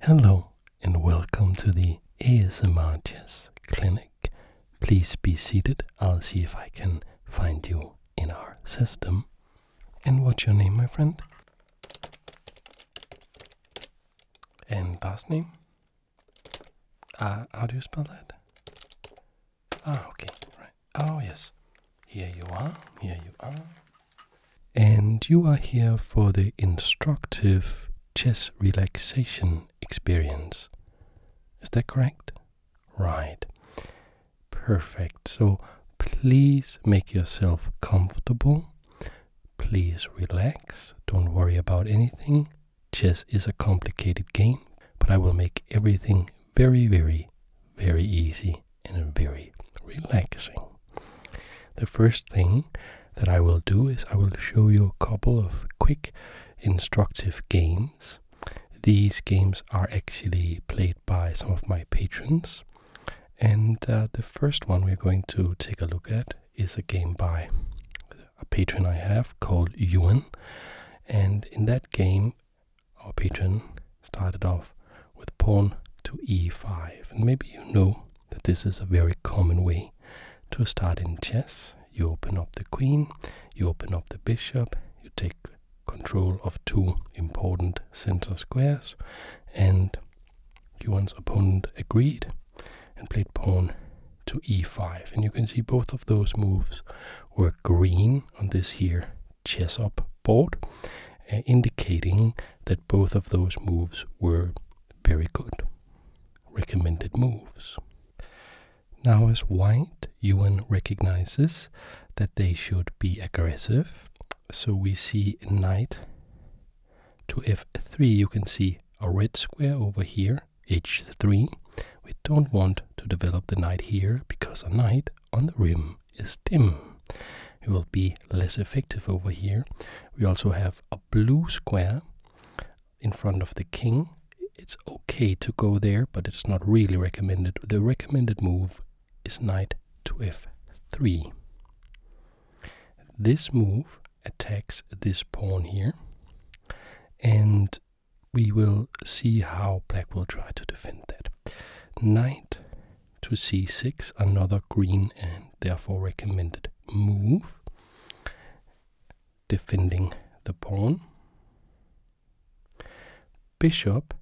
Hello and welcome to the ASMR Clinic. Please be seated. I'll see if I can find you in our system. And what's your name, my friend? And last name? Uh, how do you spell that? Ah, okay, right. Oh, yes. Here you are, here you are. And you are here for the instructive chess relaxation experience. Is that correct? Right. Perfect. So please make yourself comfortable. Please relax. Don't worry about anything. Chess is a complicated game, but I will make everything very, very, very easy and very relaxing. The first thing that I will do is I will show you a couple of quick instructive games. These games are actually played by some of my patrons. And uh, the first one we're going to take a look at is a game by a patron I have called Yuan. And in that game, our patron started off with pawn to e5. And maybe you know that this is a very common way to start in chess. You open up the queen, you open up the bishop, you take control of two important center squares, and one's opponent agreed and played pawn to e5. And you can see both of those moves were green on this here chess up board, uh, indicating that both of those moves were very good. Recommended moves. Now, as white, Yuan recognizes that they should be aggressive. So we see knight to f3. You can see a red square over here, h3. We don't want to develop the knight here because a knight on the rim is dim. It will be less effective over here. We also have a blue square in front of the king, it's okay to go there, but it's not really recommended. The recommended move is knight to f3. This move attacks this pawn here, and we will see how black will try to defend that. Knight to c6, another green end therefore recommended move, defending the pawn. Bishop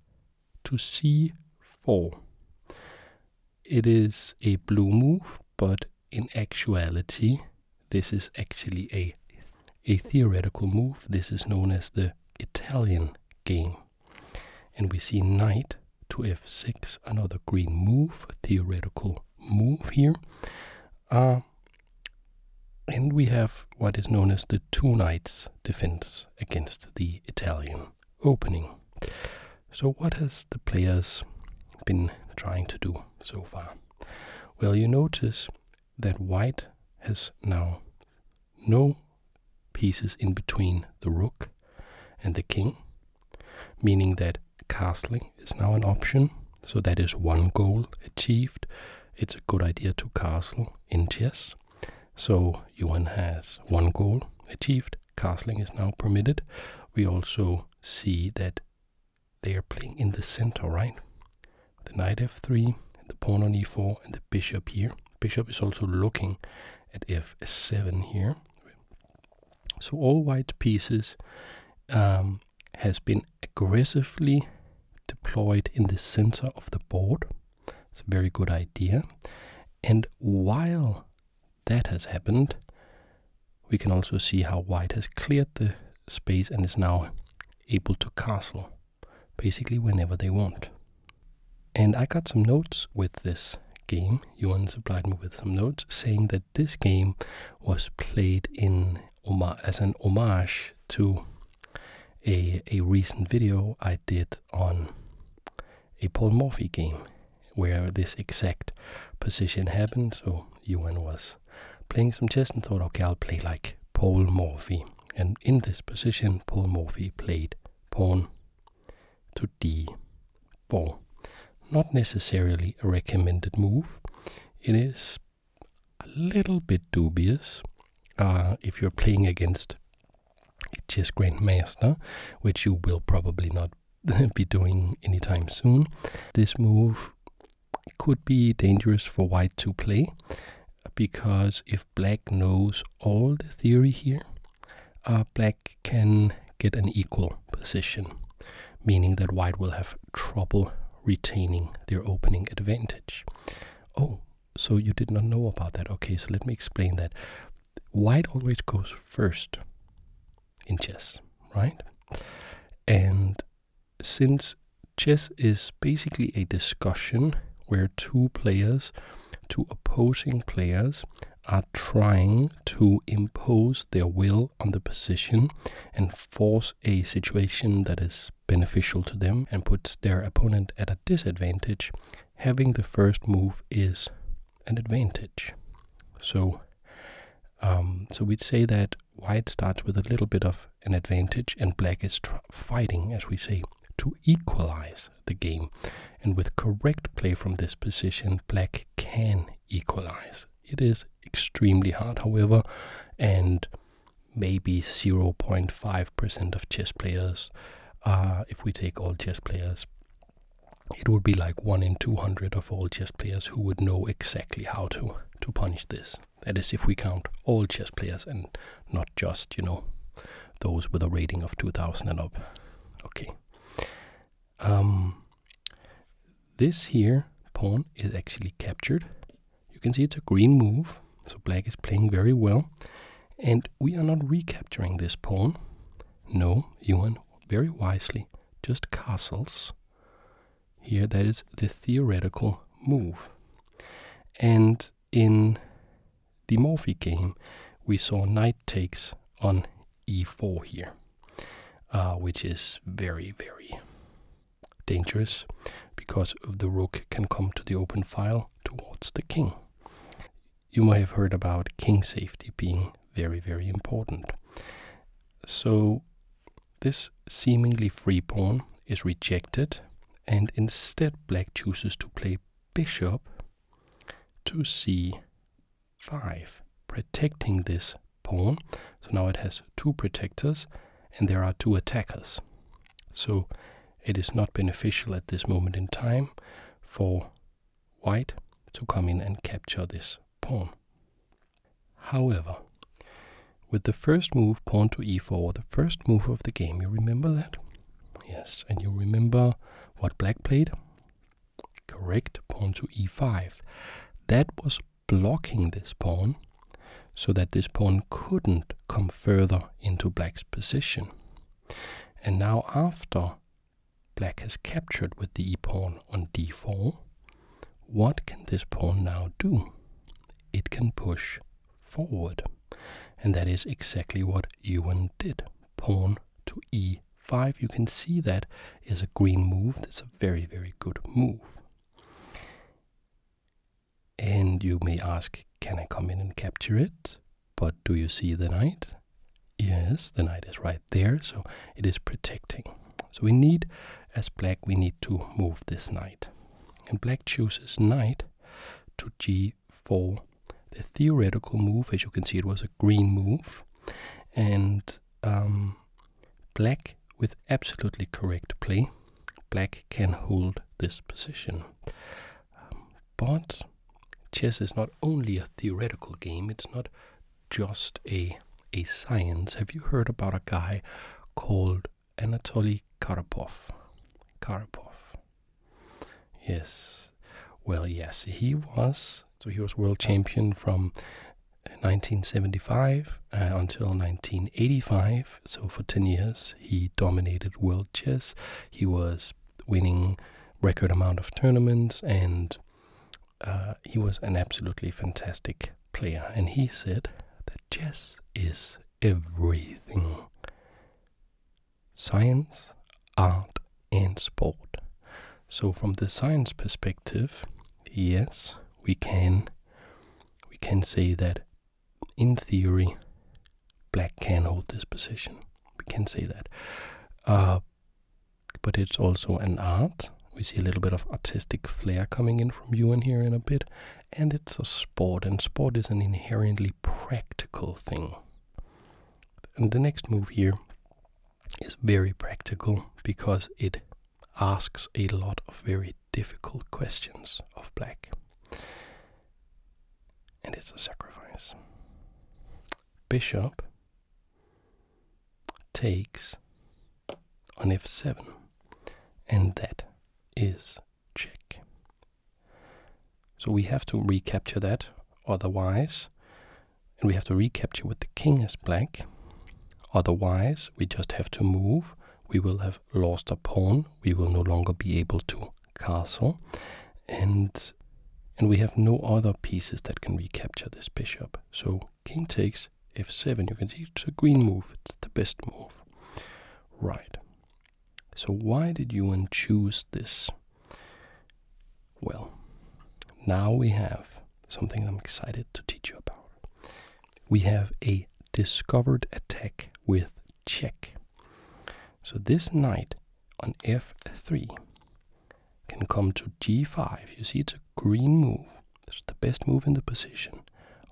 to c4. It is a blue move, but in actuality, this is actually a, a theoretical move. This is known as the Italian game. And we see knight to f6, another green move, theoretical move here. Uh, and we have what is known as the two knights defense against the Italian opening. So what has the players been trying to do so far? Well, you notice that white has now no pieces in between the rook and the king, meaning that castling is now an option. So that is one goal achieved. It's a good idea to castle in chess. So Yuan has one goal achieved. Castling is now permitted. We also see that they are playing in the center, right? The knight f3, the pawn on e4, and the bishop here. Bishop is also looking at f7 here. So all white pieces um, has been aggressively deployed in the center of the board. It's a very good idea. And while that has happened, we can also see how white has cleared the space and is now able to castle basically whenever they want. And I got some notes with this game Yuan supplied me with some notes saying that this game was played in as an homage to a a recent video I did on a Paul Morphy game where this exact position happened. So Yuan was playing some chess and thought, okay, I'll play like Paul Morphy. And in this position, Paul Morphy played pawn to d4. Not necessarily a recommended move. It is a little bit dubious uh, if you're playing against a chess grandmaster, which you will probably not be doing anytime soon. This move could be dangerous for white to play because if black knows all the theory here, uh, black can get an equal position, meaning that white will have trouble retaining their opening advantage. Oh, so you did not know about that. Okay, so let me explain that. White always goes first in chess, right? And since chess is basically a discussion where two players, two opposing players, are trying to impose their will on the position and force a situation that is beneficial to them and puts their opponent at a disadvantage, having the first move is an advantage. So, um, so we'd say that white starts with a little bit of an advantage, and black is fighting, as we say, to equalize the game. And with correct play from this position, black can equalize. It is extremely hard, however, and maybe 0.5% of chess players, uh, if we take all chess players, it would be like 1 in 200 of all chess players who would know exactly how to, to punish this. That is, if we count all chess players and not just, you know, those with a rating of 2000 and up. Okay. Um, this here pawn is actually captured. You can see it's a green move, so black is playing very well. And we are not recapturing this pawn. No, Yuan very wisely just castles. Here, that is the theoretical move. And in the Morphy game, we saw knight takes on e4 here. Uh, which is very, very dangerous because the rook can come to the open file towards the king. You may have heard about king safety being very, very important. So, this seemingly free pawn is rejected, and instead, black chooses to play bishop to c 5 protecting this pawn. So now it has two protectors and there are two attackers. So it is not beneficial at this moment in time for white to come in and capture this pawn. However, with the first move, pawn to e4, the first move of the game, you remember that? Yes, and you remember what black played? Correct, pawn to e5. That was blocking this pawn so that this pawn couldn't come further into black's position. And now after black has captured with the e-pawn on d4, what can this pawn now do? It can push forward. And that is exactly what Yuan did. Pawn to e 5 you can see that is a green move. That's a very, very good move. And you may ask, can I come in and capture it? But do you see the knight? Yes, the knight is right there, so it is protecting. So we need, as black, we need to move this knight. And black chooses knight to g4. The theoretical move, as you can see, it was a green move. And um, Black with absolutely correct play, black can hold this position. Um, but chess is not only a theoretical game, it's not just a, a science. Have you heard about a guy called Anatoly Karapov? Karapov. Yes. Well, yes, he was. So he was world champion from 1975 uh, until 1985, so for 10 years, he dominated world chess. He was winning record amount of tournaments, and uh, he was an absolutely fantastic player. And he said that chess is everything: science, art, and sport. So from the science perspective, yes, we can we can say that in theory black can hold this position. We can say that. Uh, but it's also an art. We see a little bit of artistic flair coming in from you and here in a bit. And it's a sport, and sport is an inherently practical thing. And the next move here is very practical because it asks a lot of very difficult questions of black. And it's a sacrifice. Bishop takes on f7, and that is check. So we have to recapture that, otherwise and we have to recapture with the king as black. Otherwise, we just have to move. We will have lost a pawn. We will no longer be able to castle. And, and we have no other pieces that can recapture this bishop. So king takes f7. You can see it's a green move. It's the best move. Right. So why did Ewan choose this? Well, now we have something I'm excited to teach you about. We have a discovered attack with check. So this knight on f3 can come to g5. You see, it's a green move. It's the best move in the position.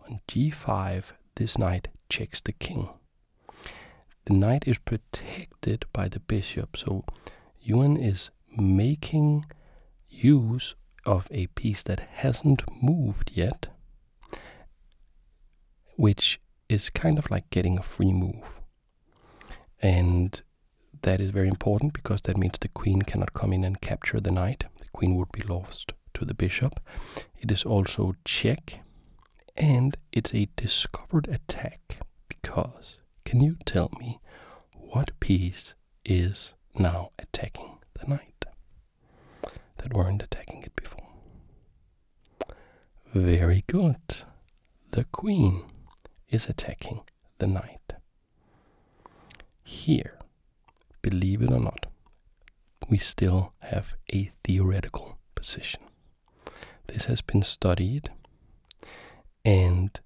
On g5, this knight checks the king. The knight is protected by the bishop, so Yuan is making use of a piece that hasn't moved yet, which is kind of like getting a free move. And that is very important because that means the queen cannot come in and capture the knight. The queen would be lost to the bishop. It is also check and it's a discovered attack because can you tell me what piece is now attacking the knight that weren't attacking it before. Very good. The queen is attacking the knight. Here, believe it or not, we still have a theoretical position. This has been studied, and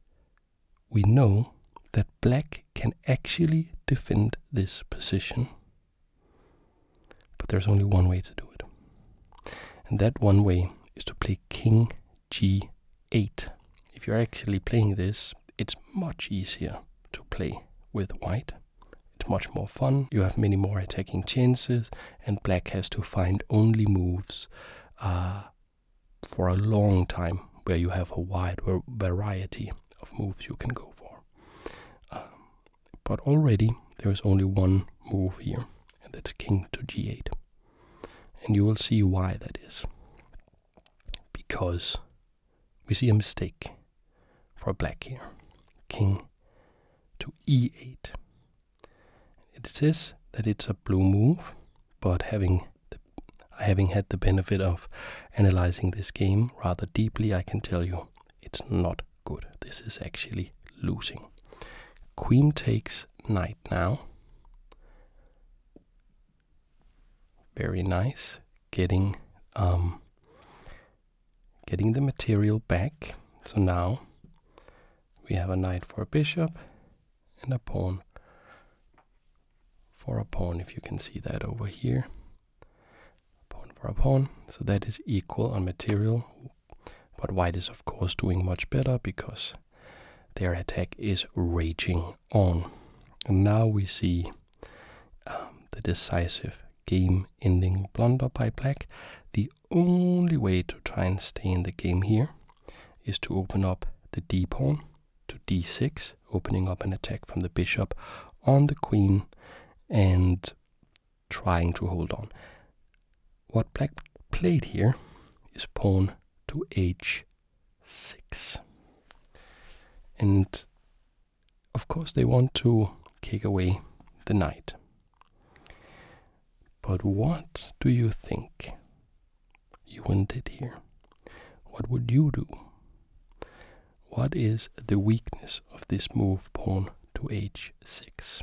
we know that black can actually defend this position. But there's only one way to do it. And that one way is to play king g8. If you're actually playing this, it's much easier to play with white. It's much more fun, you have many more attacking chances, and black has to find only moves uh, for a long time where you have a wide variety of moves you can go for. Um, but already there is only one move here, and that's king to g8. And you will see why that is. Because we see a mistake for black here. King to e8. It says that it's a blue move, but having having had the benefit of analyzing this game rather deeply, I can tell you it's not good. This is actually losing. Queen takes knight now. Very nice, getting um, getting the material back. So now we have a knight for a bishop, and a pawn for a pawn, if you can see that over here. Pawn for a pawn. So that is equal on material. But white is, of course, doing much better because their attack is raging on. And now we see um, the decisive game ending blunder by black. The only way to try and stay in the game here is to open up the d pawn to d6, opening up an attack from the bishop on the queen and trying to hold on. What black played here is pawn to h6. And of course, they want to kick away the knight. But what do you think you wouldn't it here. What would you do? What is the weakness of this move pawn to h6?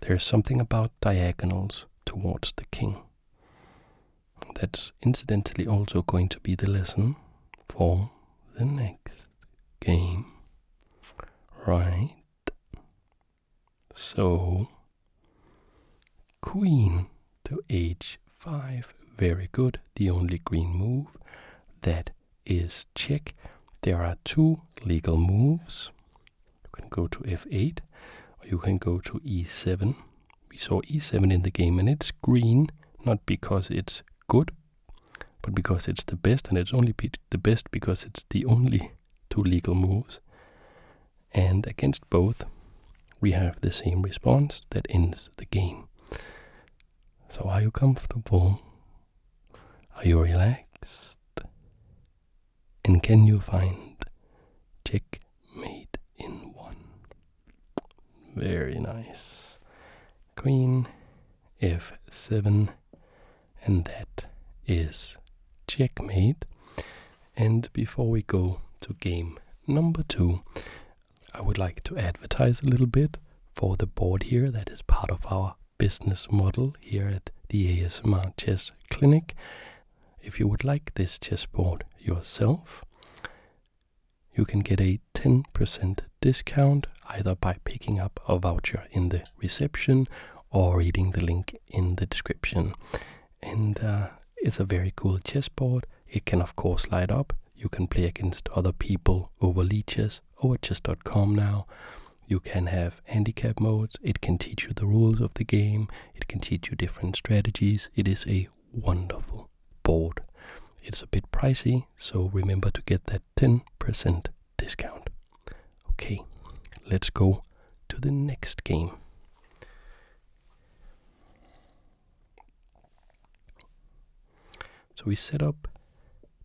There's something about diagonals towards the king. That's incidentally also going to be the lesson for the next game. Right? So, Queen to h5. Very good. The only green move that is check. There are two legal moves. You can go to f8 or you can go to e7. We saw e7 in the game and it's green, not because it's good, but because it's the best and it's only the best because it's the only two legal moves and against both we have the same response that ends the game. So, are you comfortable? Are you relaxed? And can you find checkmate in one? Very nice. Queen f7, and that is checkmate. And before we go to game number two, I would like to advertise a little bit for the board here that is part of our business model here at the ASMR Chess Clinic. If you would like this chess board yourself, you can get a 10% discount either by picking up a voucher in the reception or reading the link in the description and uh, it's a very cool chess board. It can of course light up. You can play against other people over leeches, over chess.com now. You can have handicap modes. It can teach you the rules of the game. It can teach you different strategies. It is a wonderful board. It's a bit pricey, so remember to get that 10% discount. Okay, let's go to the next game. So we set up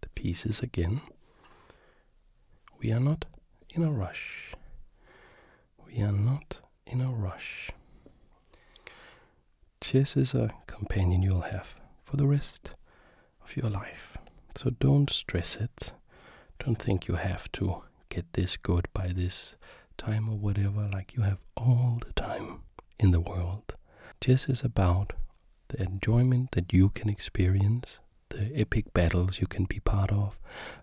the pieces again. We are not in a rush. We are not in a rush. Chess is a companion you'll have for the rest of your life. So don't stress it. Don't think you have to get this good by this time or whatever. Like you have all the time in the world. Chess is about the enjoyment that you can experience, the epic battles you can be part of,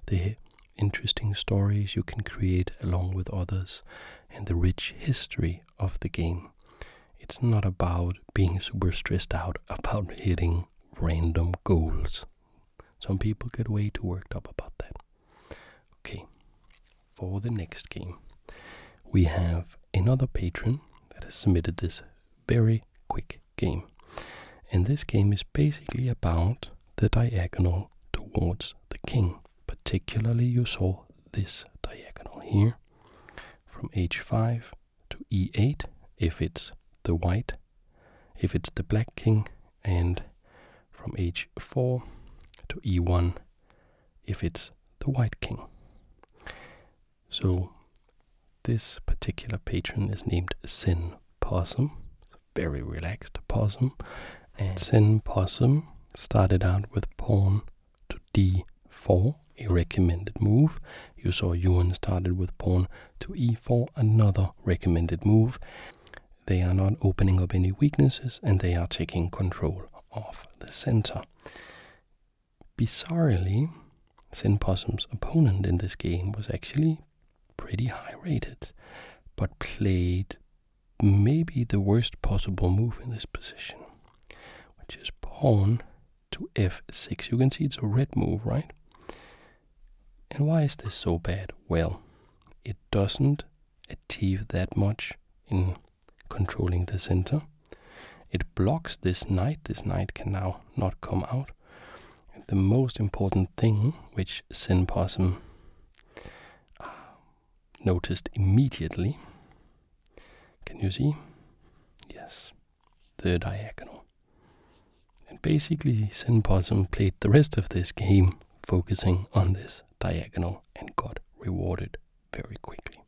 the interesting stories you can create along with others, and the rich history of the game. It's not about being super stressed out about hitting random goals. Some people get way too worked up about that. Okay, for the next game, we have another patron that has submitted this very quick game. And this game is basically about the diagonal towards the king. Particularly, you saw this diagonal here from h5 to e8 if it's the white, if it's the black king, and from h4 to e1 if it's the white king. So this particular patron is named Sin Possum, It's a very relaxed possum, Sin Possum started out with pawn to d4, a recommended move. You saw Yuan started with pawn to e4, another recommended move. They are not opening up any weaknesses and they are taking control of the center. Bizarrely, Sin Possum's opponent in this game was actually pretty high rated, but played maybe the worst possible move in this position, which is pawn to f6. You can see it's a red move, right? And why is this so bad? Well, it doesn't achieve that much in controlling the center. It blocks this knight. This knight can now not come out. The most important thing which Sin uh, noticed immediately. Can you see? Yes, the diagonal. And basically, Sin played the rest of this game focusing on this diagonal and got rewarded very quickly.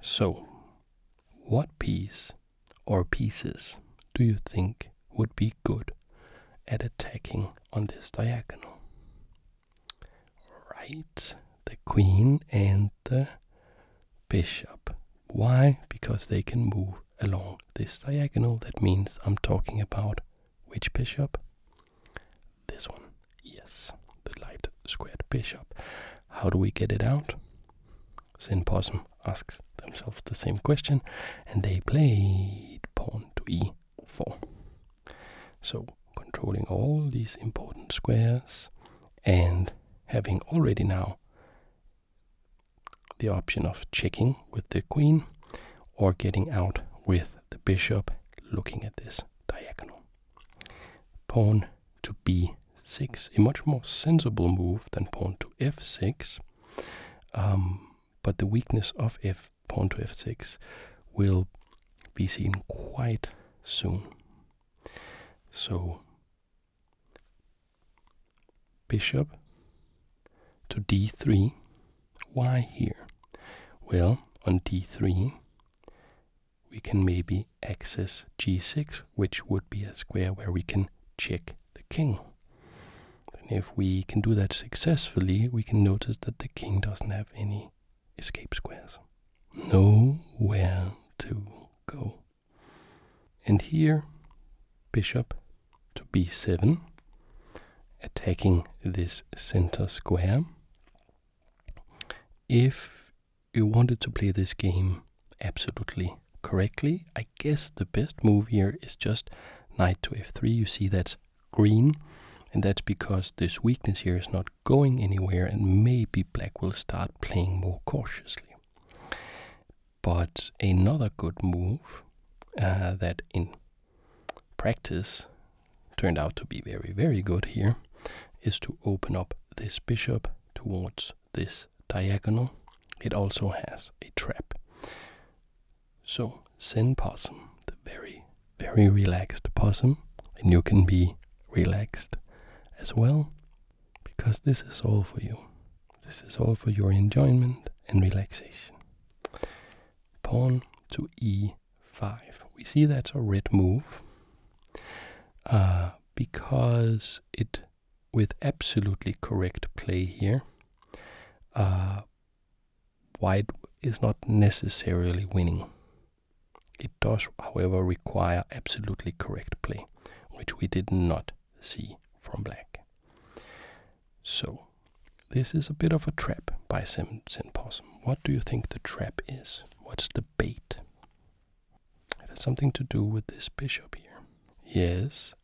So, what piece or pieces do you think would be good at attacking on this diagonal? Right, the queen and the bishop. Why? Because they can move along this diagonal. That means I'm talking about which bishop? This one. Yes, the light squared bishop. How do we get it out? Sinposum Possum asks themselves the same question, and they played pawn to e4. So, controlling all these important squares and having already now the option of checking with the queen or getting out with the bishop looking at this diagonal. Pawn to b6, a much more sensible move than pawn to f6. Um, but the weakness of f pawn to f6 will be seen quite soon. So bishop to d3 why here? Well, on d3, we can maybe access g6, which would be a square where we can check the king. And if we can do that successfully, we can notice that the king doesn't have any escape squares. Nowhere to go. And here, bishop to b7, attacking this center square. If you wanted to play this game absolutely correctly, I guess the best move here is just knight to f3. You see that's green, and that's because this weakness here is not going anywhere, and maybe black will start playing more cautiously. But another good move uh, that in practice turned out to be very, very good here is to open up this bishop towards this diagonal. It also has a trap. So, Zen Possum, the very, very relaxed possum, and you can be relaxed as well because this is all for you. This is all for your enjoyment and relaxation pawn to e5. We see that's a red move uh, because it, with absolutely correct play here, uh, white is not necessarily winning. It does, however, require absolutely correct play, which we did not see from black. So this is a bit of a trap by Simpson Possum. What do you think the trap is? What's the bait? It something to do with this bishop here. Yes,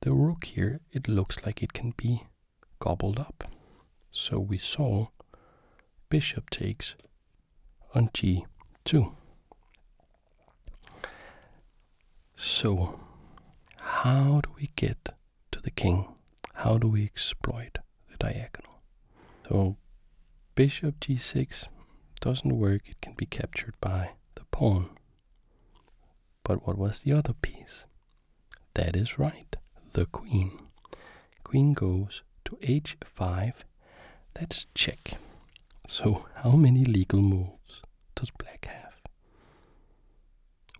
the rook here, it looks like it can be gobbled up. So we saw bishop takes on g2. So, how do we get to the king. How do we exploit the diagonal? So bishop g6 doesn't work. It can be captured by the pawn. But what was the other piece? That is right, the queen. Queen goes to h5. That's check. So how many legal moves does black have?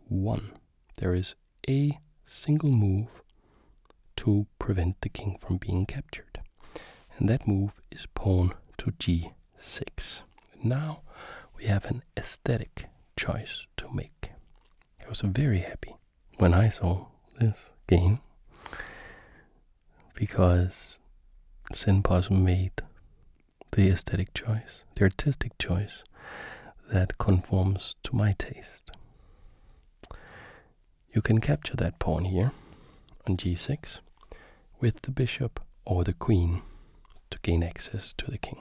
One there is a single move to prevent the king from being captured. And that move is pawn to g6. Now we have an aesthetic choice to make. I was very happy when I saw this game because Sin made the aesthetic choice the artistic choice that conforms to my taste. You can capture that pawn here on g6 with the bishop or the queen to gain access to the king.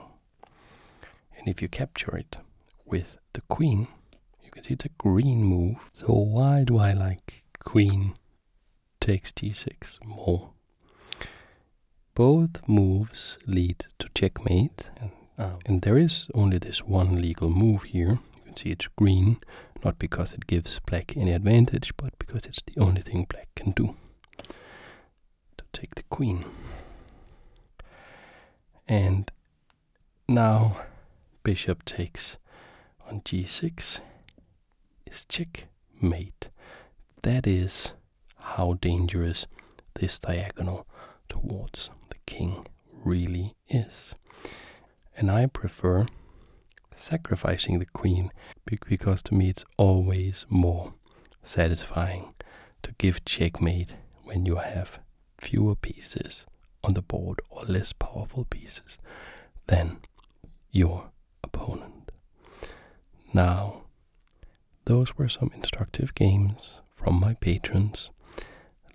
And if you capture it with the queen, you can see it's a green move. So why do I like queen takes g6 more? Both moves lead to checkmate. Oh. And, there is only this one legal move here. You can see it's green, not because it gives black any advantage, but because it's the only thing black can do. To take the queen. And now bishop takes on g6 is checkmate. That is how dangerous this diagonal towards the king really is. And I prefer sacrificing the queen because to me it's always more satisfying to give checkmate when you have fewer pieces on the board or less powerful pieces than your opponent. Now, those were some instructive games from my patrons.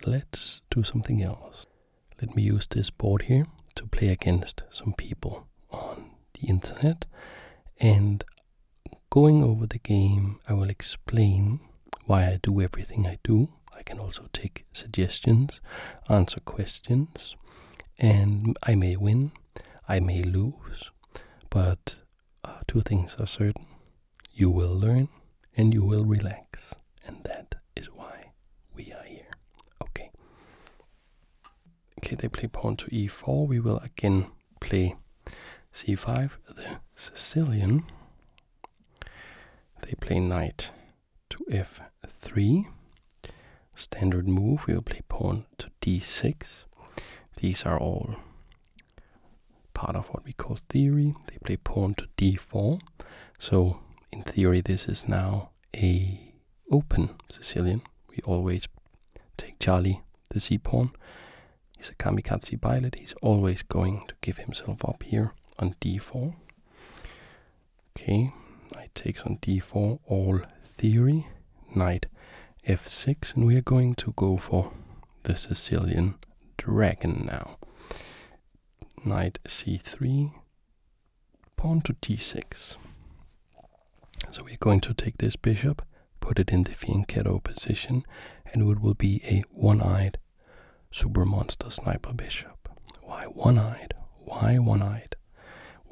Let's do something else. Let me use this board here to play against some people on the internet. And going over the game, I will explain why I do everything I do. I can also take suggestions, answer questions, and I may win, I may lose, but uh, two things are certain you will learn and you will relax, and that is why we are here. Okay. Okay, they play pawn to e4. We will again play c5, the Sicilian. They play knight to f3. Standard move, we will play pawn to d6. These are all part of what we call theory. They play pawn to d4. So in theory, this is now a open Sicilian. We always take Charlie the c pawn. He's a kamikaze pilot. He's always going to give himself up here on d4. Okay, I takes on d4, all theory, knight f6, and we are going to go for the Sicilian dragon now. Knight c3, pawn to d6. So we're going to take this bishop, put it in the fianchetto position, and it will be a one-eyed super monster sniper bishop. Why one-eyed? Why one-eyed?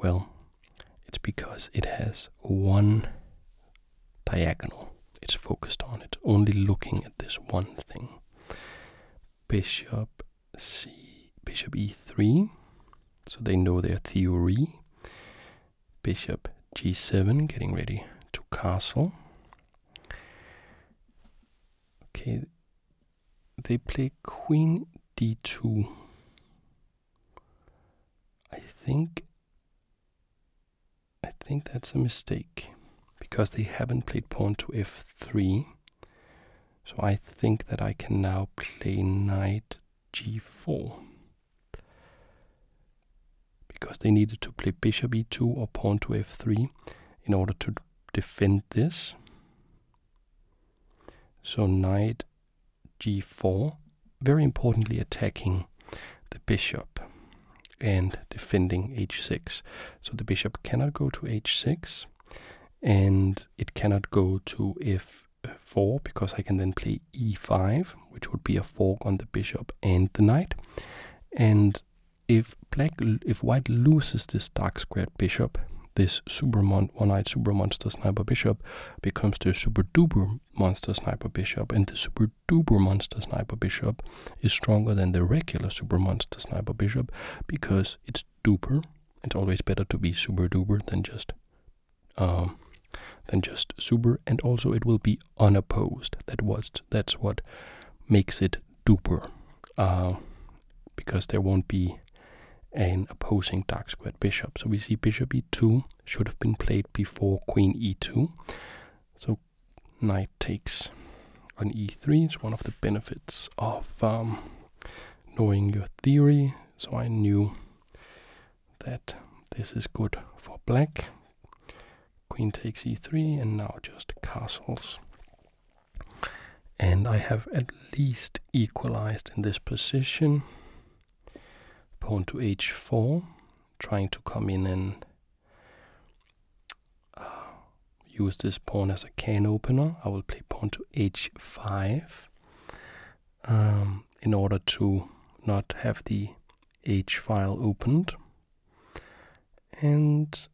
Well, it's because it has one diagonal. It's focused on it, only looking at this one thing. Bishop c, bishop e3, so they know their theory. Bishop g7, getting ready to castle. Okay, they play queen d2. I think I think that's a mistake because they haven't played pawn to f3. So I think that I can now play knight g4. Because they needed to play bishop e2 or pawn to f3 in order to defend this. So knight g4, very importantly attacking the bishop and defending h6. So the bishop cannot go to h6 and it cannot go to f4 because I can then play e5, which would be a fork on the bishop and the knight. And if black if white loses this dark squared bishop, this super one-eyed super monster sniper bishop becomes the super duper monster sniper bishop, and the super Super monster Sniper Bishop is stronger than the regular super monster Sniper Bishop because it's duper. It's always better to be super duper than just um, than just super, and also it will be unopposed. That was that's what makes it duper, uh, because there won't be an opposing dark square bishop. So we see bishop e2 should have been played before queen e2. So knight takes on e3 It's one of the benefits of um, knowing your theory. So I knew that this is good for black. Queen takes e3 and now just castles. And I have at least equalized in this position. Pawn to h4, trying to come in and uh, use this pawn as a can opener. I will play pawn to h5 um, in order to not have the h file opened. And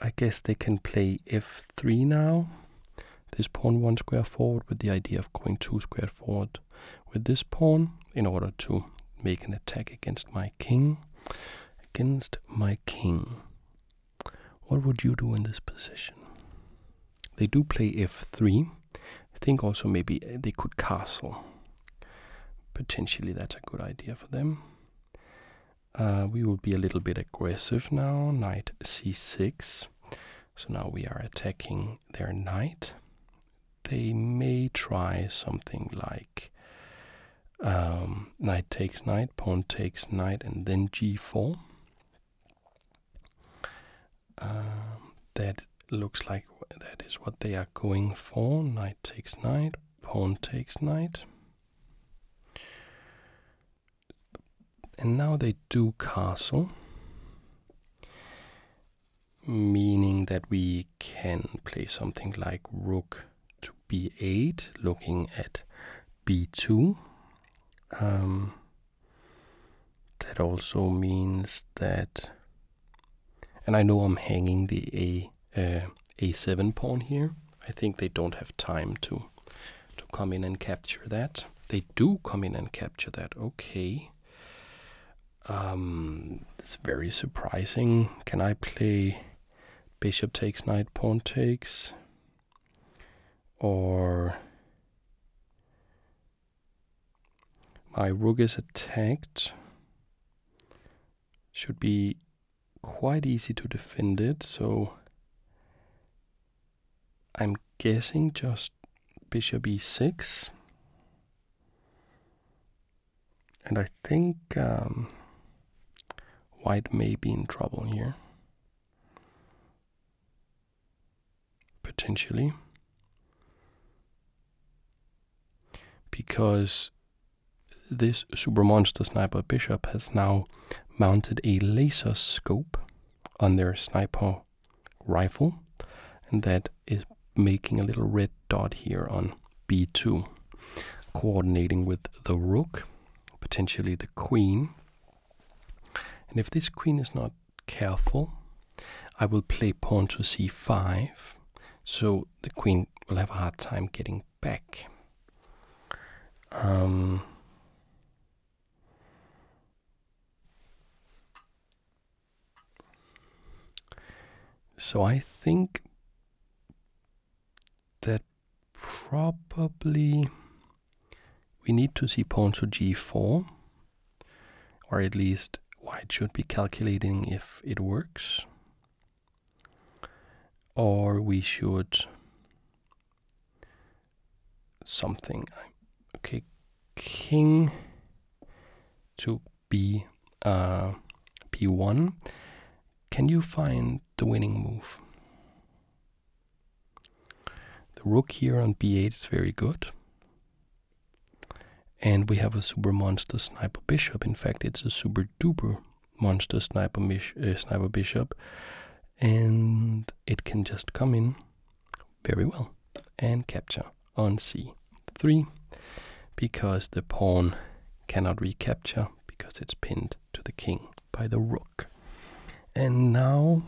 I guess they can play f3 now. This pawn one square forward with the idea of going two square forward with this pawn in order to make an attack against my king. Against my king. What would you do in this position? They do play f3. I think also maybe they could castle. Potentially that's a good idea for them. Uh, we will be a little bit aggressive now. Knight c6. So now we are attacking their knight they may try something like knight um, takes knight, pawn takes knight, and then g4. Um, that looks like that is what they are going for. Knight takes knight, pawn takes knight. And now they do castle meaning that we can play something like rook to b8, looking at b2. Um, that also means that, and I know I'm hanging the a uh, a7 pawn here. I think they don't have time to to come in and capture that. They do come in and capture that. Okay. Um, it's very surprising. Can I play bishop takes knight, pawn takes? Or my rook is attacked. Should be quite easy to defend it, so I'm guessing just bishop e6. And I think um, white may be in trouble here. Potentially. Because this super monster sniper bishop has now mounted a laser scope on their sniper rifle, and that is making a little red dot here on b2, coordinating with the rook, potentially the queen. And if this queen is not careful, I will play pawn to c5, so the queen will have a hard time getting back. Um, so I think that probably we need to see pawn to g4, or at least white should be calculating if it works. Or we should something. Okay, king to B, uh, P1. Can you find the winning move? The rook here on B8 is very good. And we have a super monster sniper bishop. In fact, it's a super duper monster sniper uh, bishop. And it can just come in very well and capture on c3 because the pawn cannot recapture because it's pinned to the king by the rook. And now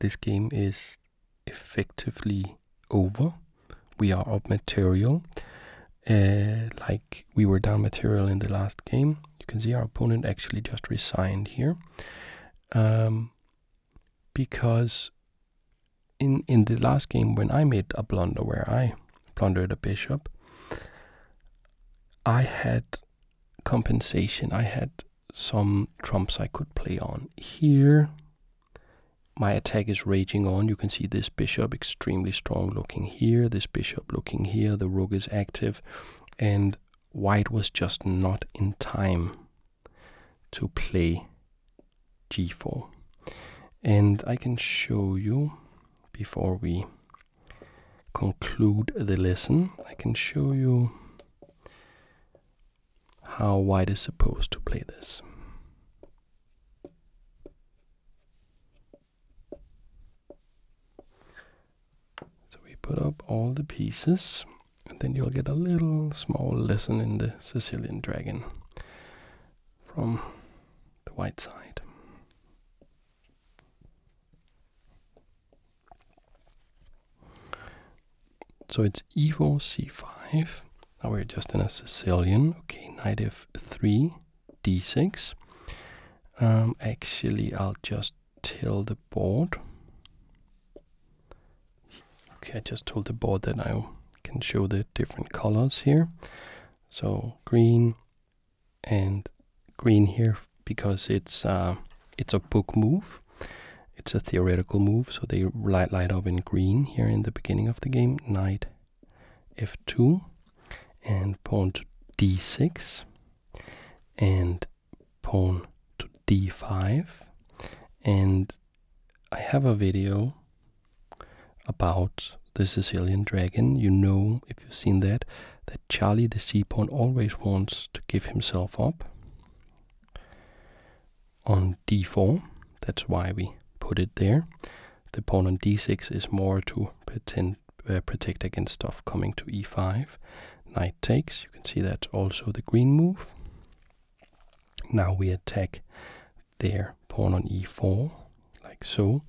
this game is effectively over. We are up material. Uh, like we were down material in the last game. You can see our opponent actually just resigned here. Um, because in in the last game when I made a blunder where I plundered a bishop, I had compensation. I had some trumps I could play on. Here, my attack is raging on. You can see this bishop extremely strong looking here, this bishop looking here, the rook is active, and white was just not in time to play g4 and i can show you before we conclude the lesson i can show you how white is supposed to play this so we put up all the pieces and then you'll get a little small lesson in the sicilian dragon from the white side. So it's e4, c5. Now we're just in a Sicilian. Okay, knight f3, d6. Um, actually, I'll just tell the board. Okay, I just told the board that I can show the different colors here. So green and green here because it's uh, it's a book move. It's a theoretical move, so they light light up in green here in the beginning of the game. Knight f2 and pawn to d6 and pawn to d5 and I have a video about the Sicilian dragon. You know, if you've seen that, that Charlie the Seaborn always wants to give himself up on d4. That's why we put it there. The pawn on d6 is more to uh, protect against stuff coming to e5. Knight takes. You can see that also the green move. Now we attack their pawn on e4, like so.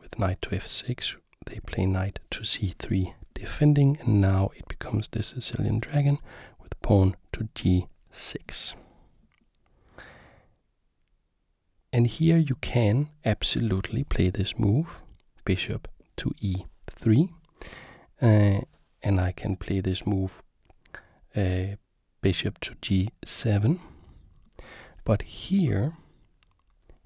With knight to f6, they play knight to c3, defending, and now it becomes the Sicilian dragon with pawn to g6. And here you can absolutely play this move, bishop to e3. Uh, and I can play this move uh, bishop to g7. But here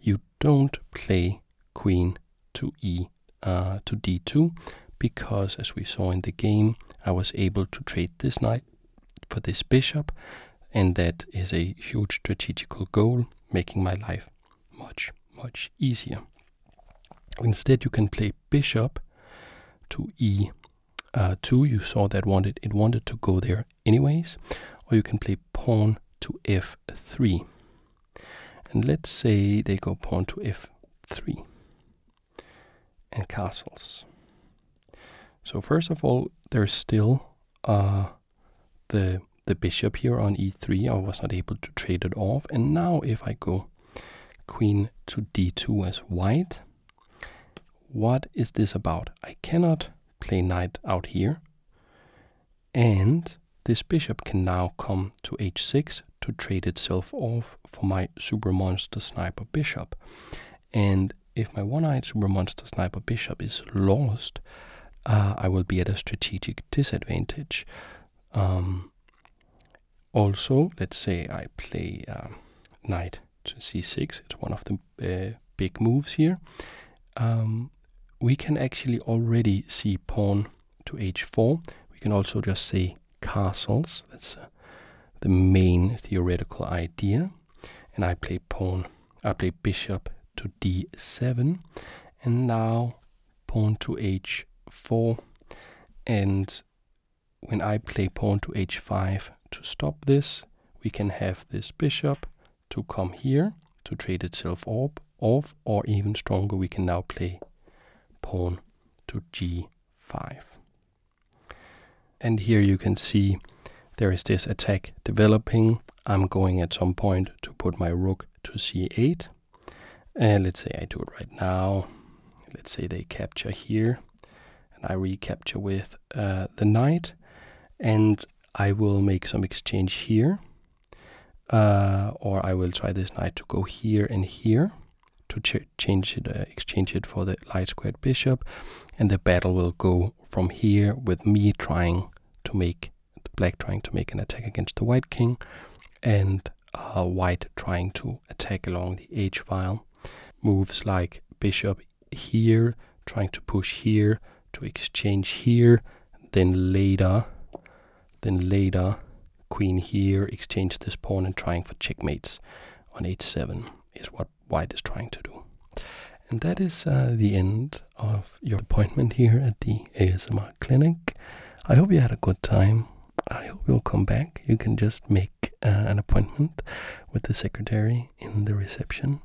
you don't play queen to e uh, to d2 because as we saw in the game I was able to trade this knight for this bishop and that is a huge strategical goal making my life much much easier. Instead you can play bishop to e uh, 2 you saw that wanted it wanted to go there anyways or you can play pawn to f3 and let's say they go pawn to f3 and castles so first of all there's still uh, the the bishop here on e3 I was not able to trade it off and now if I go queen to d2 as white what is this about? I cannot play knight out here. And this bishop can now come to h6 to trade itself off for my super monster sniper bishop. And if my one-eyed super monster sniper bishop is lost, uh, I will be at a strategic disadvantage. Um, also, let's say I play uh, knight to c6. It's one of the uh, big moves here. Um, we can actually already see pawn to h4. We can also just say castles. That's uh, the main theoretical idea. And I play pawn. I play bishop to d7. And now pawn to h4. And when I play pawn to h5 to stop this, we can have this bishop to come here to trade itself orb, off, or even stronger, we can now play pawn to g5. And here you can see there is this attack developing. I'm going at some point to put my rook to c8. And let's say I do it right now. Let's say they capture here. And I recapture with uh, the knight, and I will make some exchange here. Uh, or I will try this knight to go here and here to change it, uh, exchange it for the light squared bishop, and the battle will go from here with me trying to make black trying to make an attack against the white king, and white trying to attack along the h file. Moves like bishop here, trying to push here, to exchange here, then later, then later, queen here, exchange this pawn and trying for checkmates on h7 is what white is trying to do. And that is uh, the end of your appointment here at the ASMR clinic. I hope you had a good time. I hope you'll come back. You can just make uh, an appointment with the secretary in the reception.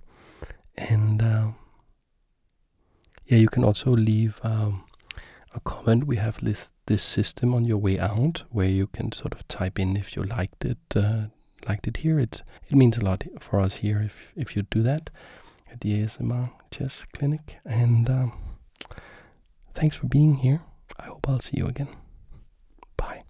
And um, yeah, you can also leave um, a comment. We have this, this system on your way out where you can sort of type in if you liked it. Uh, liked it here. It's, it means a lot for us here if, if you do that at the ASMR Chess Clinic. And um, thanks for being here. I hope I'll see you again. Bye.